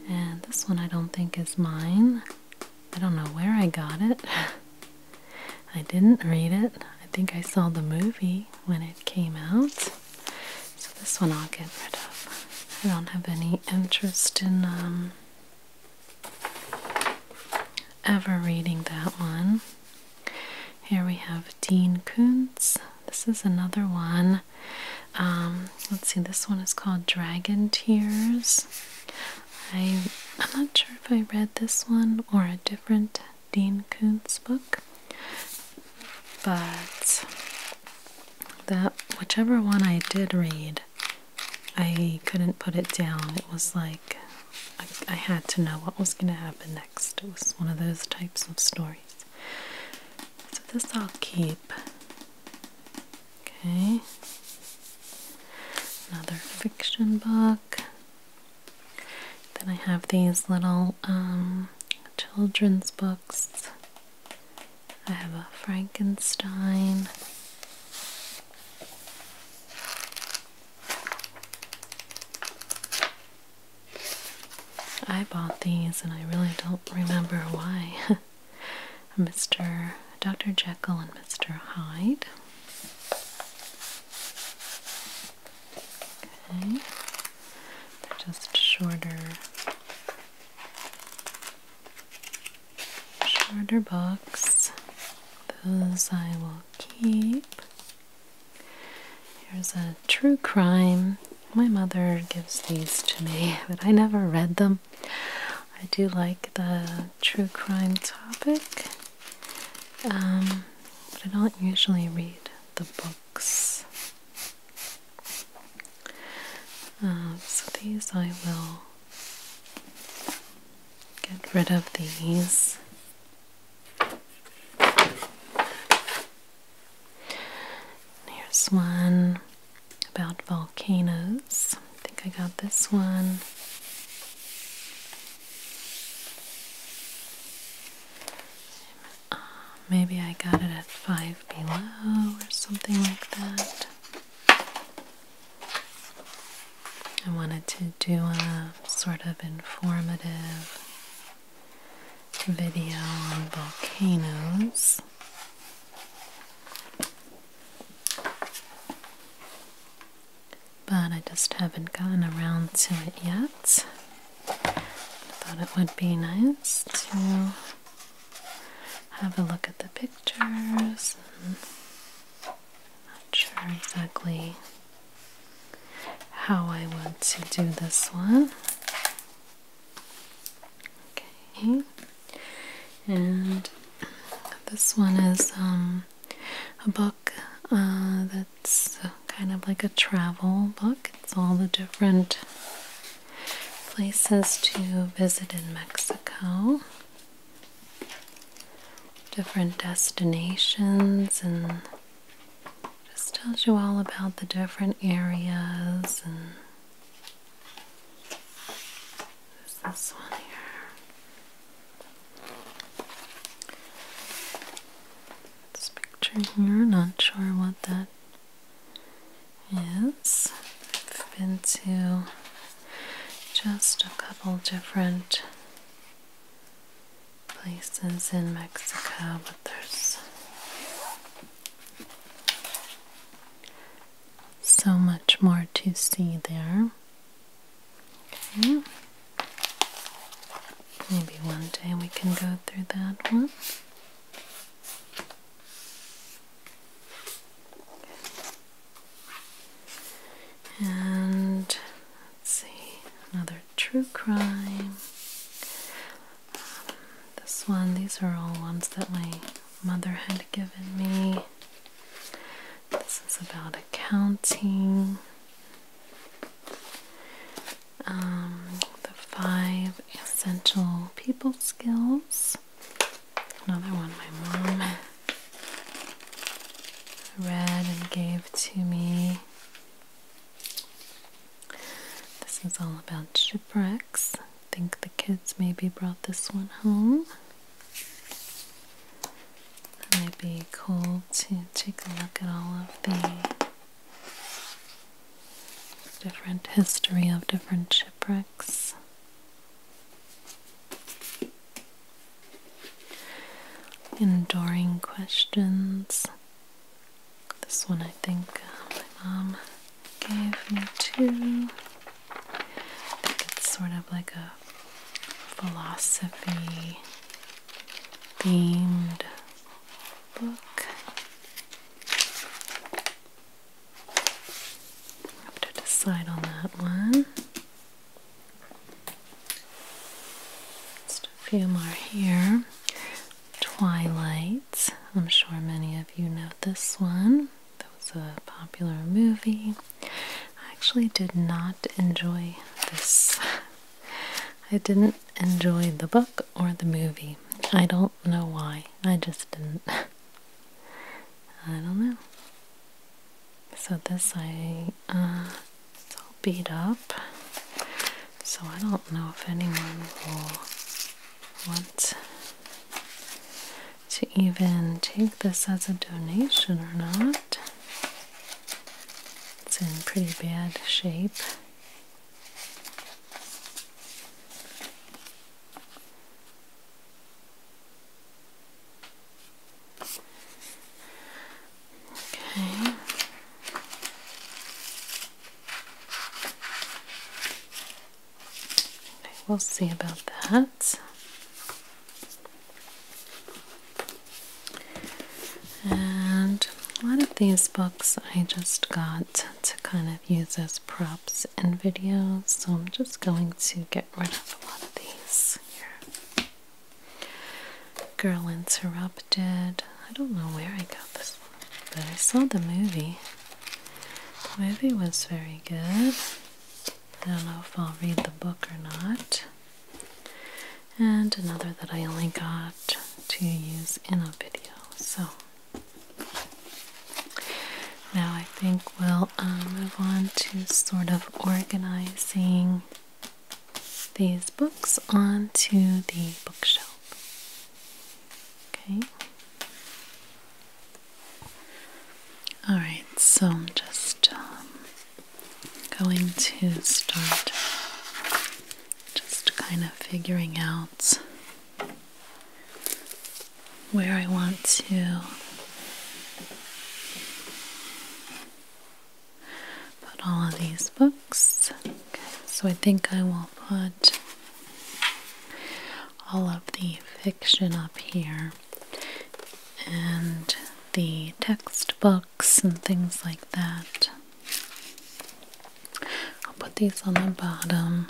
And this one I don't think is mine. I don't know where I got it. I didn't read it. I think I saw the movie when it came out. So this one I'll get rid of. I don't have any interest in um, ever reading that one. Here we have Dean Koontz. This is another one. Um, let's see, this one is called Dragon Tears. I, I'm not sure if I read this one or a different Dean Koontz book, but that whichever one I did read, I couldn't put it down. It was like I, had to know what was going to happen next. It was one of those types of stories. So this I'll keep. Okay. Another fiction book. Then I have these little um, children's books. I have a Frankenstein. I bought these and I really don't remember why. Mr. Dr. Jekyll and Mr. Hyde. Okay. They're just shorter shorter books. Those I will keep. Here's a true crime. My mother gives these to me, but I never read them. I do like the true crime topic, um, but I don't usually read the books. Um, so these I will get rid of these. Here's one about volcanoes. I think I got this one. Maybe I got it at five below or something like that. I wanted to do a sort of informative video on volcanoes. But I just haven't gotten around to it yet. I thought it would be nice to have a look at the pictures. And not sure exactly how I want to do this one. Okay, and this one is um, a book uh, that's kind of like a travel book. It's all the different places to visit in Mexico, different destinations, and just tells you all about the different areas. And there's this one here. This picture here, not sure what that Yes, I've been to just a couple different places in Mexico, but there's so much more to see there. Okay. Maybe one day we can go through that one. And let's see, another true crime. this one, these are all ones that my mother had given me. This is about accounting. Um, the five essential people skills. Another one my mom read and gave to me. This is all about shipwrecks. I think the kids maybe brought this one home. It might be cool to take a look at all of the different history of different ships. Bricks. Enduring questions. This one I think uh, my mom gave me too. I think it's sort of like a philosophy themed book. Have to decide on that one. Just a few more here. Twilight. I'm sure many of you know this one. That was a popular movie. I actually did not enjoy this. I didn't enjoy the book or the movie. I don't know why. I just didn't. I don't know. So this I uh it's all beat up. So I don't know if anyone will want to even take this as a donation or not. It's in pretty bad shape. Okay. Okay, we'll see about that. And a lot of these books I just got to kind of use as props in and videos, so I'm just going to get rid of a lot of these Girl Interrupted. I don't know where I got this but I saw the movie. The movie was very good. I don't know if I'll read the book or not. And another that I only got to use in a video. So now I think we'll um, move on to sort of organizing these books onto the bookshelf. Okay. Alright, so I'm just um, going to start just kind of figuring out where I want to put all of these books. Okay, so I think I will put all of the fiction up here and the textbooks and things like that. I'll put these on the bottom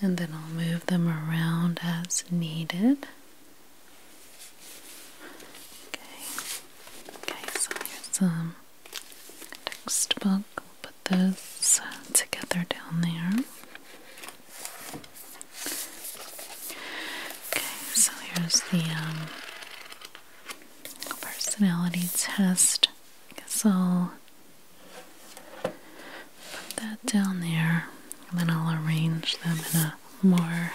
and then I'll move them around as needed. Okay, okay, so here's some textbook. put those together down there. Okay, so here's the um, personality test. I guess I'll Put that down there, and then I'll arrange them in a more,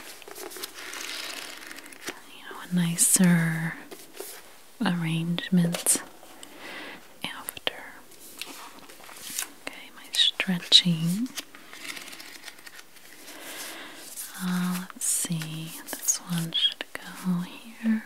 you know, a nicer arrangement after. Okay, my stretching. Uh, let's see, this one should go here.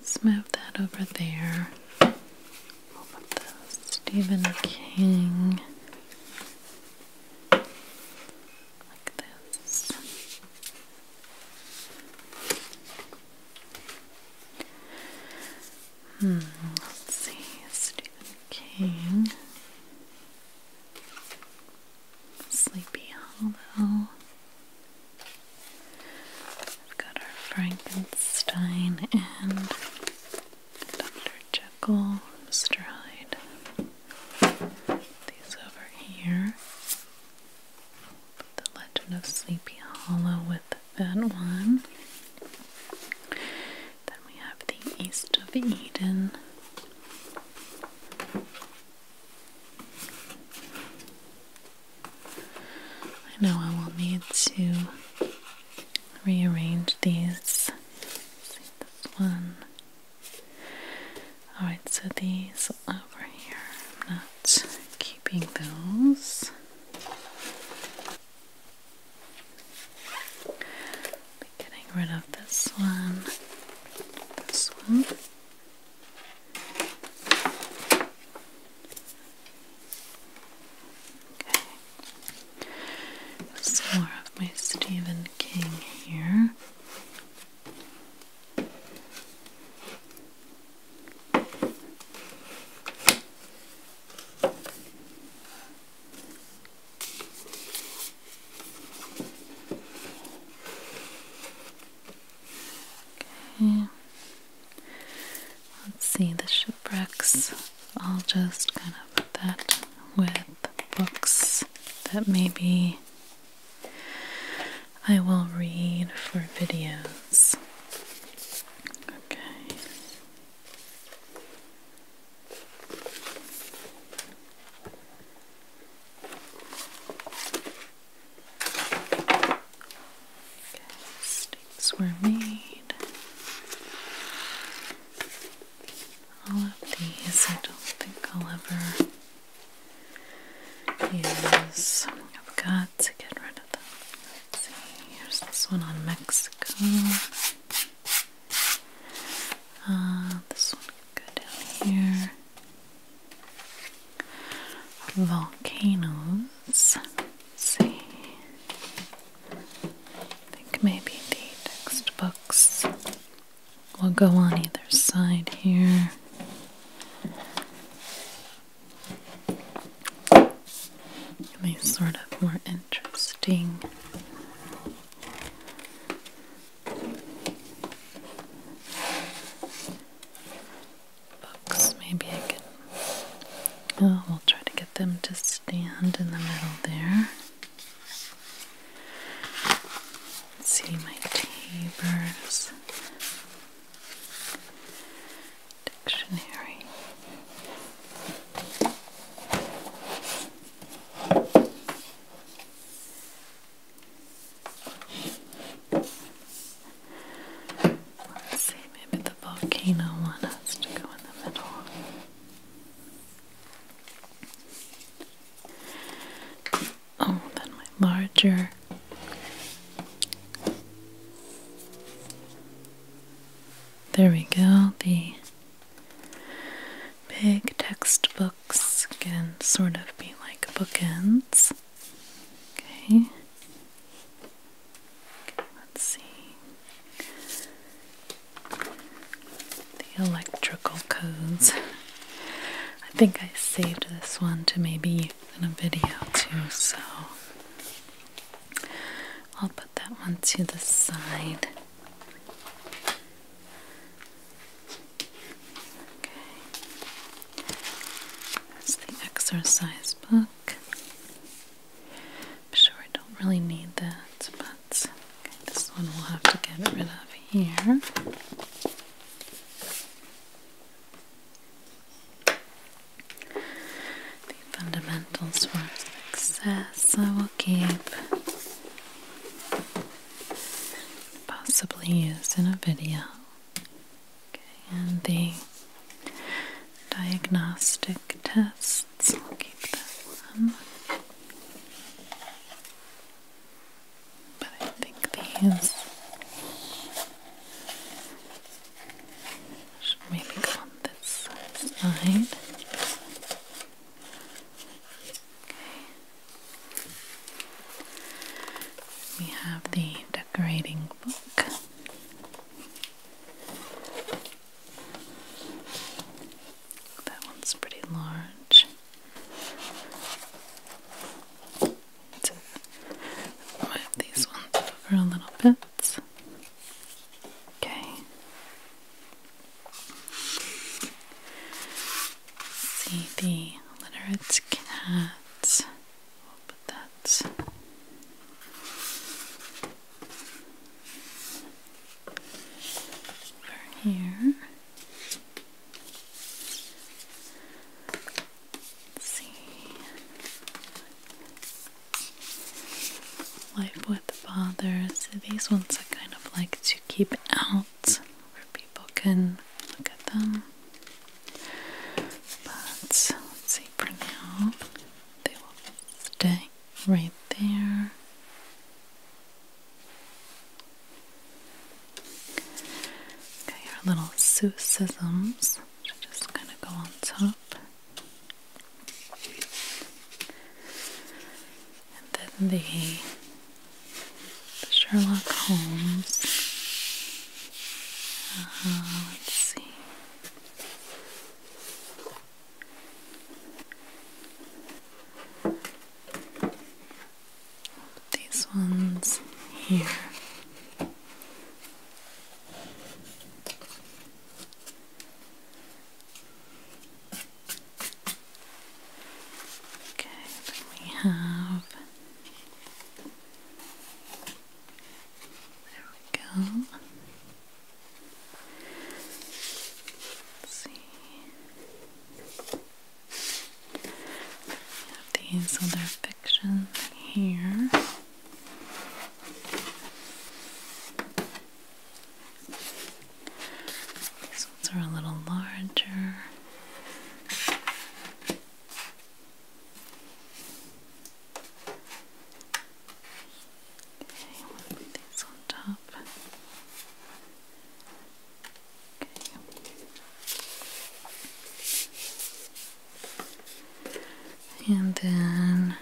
Let's move that over there. We'll put the Stephen King like this. Hmm, let's see, Stephen King. Sleepy Hollow. We've got our Frankenstein and Dr. Jekyll, Mr. Hyde. These over here. the Legend of Sleepy Hollow with that one. Then we have the East of Eden I know I will need to rearrange these. see this one. Alright, so these over here, I'm not keeping those getting rid of this one, this one. Okay, some more of my Stephen King here. Let's see the shipwrecks. I'll just kind of put that with books that maybe I will read for videos. Okay. Okay, were made. All of these I don't think I'll ever use. I've got to get rid of them. Let's see, here's this one on Mexico. Uh, this one can go down here. Volcanoes. see. I think maybe the textbooks will go on either side here. Let me sort of more interesting Books, maybe I can. Oh, we'll try to get them to stand in the middle there. see my Tabers dictionary. Let's see, maybe the volcano one has to go in the middle. Oh, then my larger. There we go, the big textbook can sort of be like bookends. Okay. okay let's see. The electrical codes. I think I saved this one to maybe in a video too, so I'll put that one to the side. Okay. That's the exercise book. I'm sure I don't really need that, but this one we'll have to get rid of here. The fundamentals for success I will keep possibly used in a video. and the diagnostic tests, will keep that But I think these should maybe go on this side. Okay. We have the decorating book. That one's pretty large. To move these ones over a little bit. Okay. See the literate cats. put that. Over here. see. Life with fathers. These ones I kind of like to keep out where people can look at them. But let's see for now, they will stay right there. Got your little Seussisms, which just gonna go on top and then the, Sherlock Holmes. Uh, let's see. These ones here. Okay, we have. There we go. Let's see. We have these other fictions here. These ones are a little larger. Okay, put these on top. Okay. And then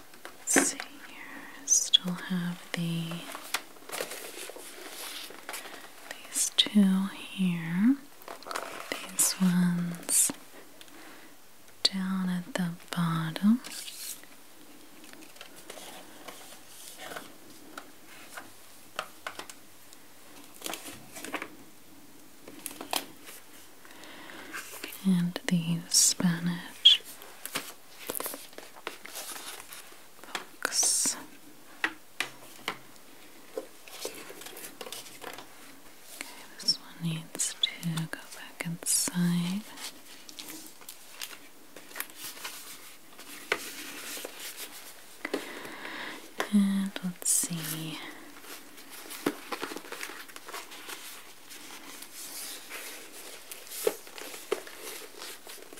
Let's see here. Still have the these two here. These ones down at the bottom. And the Spanish Okay, this one needs to go back inside. And let's see. Okay,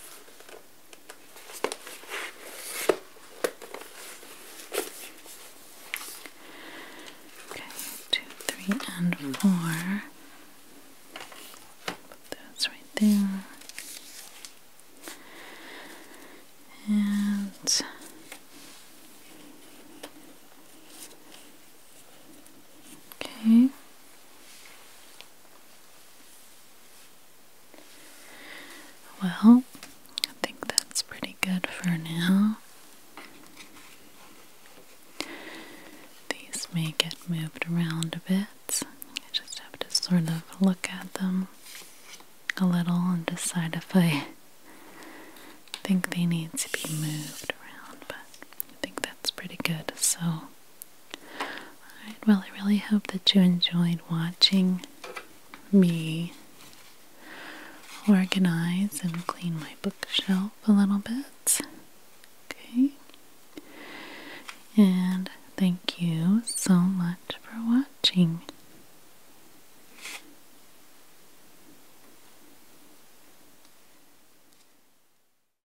two, three, and four. Put those right there. And okay. Well, I think that's pretty good for now. These may get moved around a bit. I just have to sort of look at them a little and decide if I think they need to be moved around, but I think that's pretty good. So Alright, well, I really hope that you enjoyed watching me organize and clean my bookshelf a little bit. Okay? And thank you so much for watching.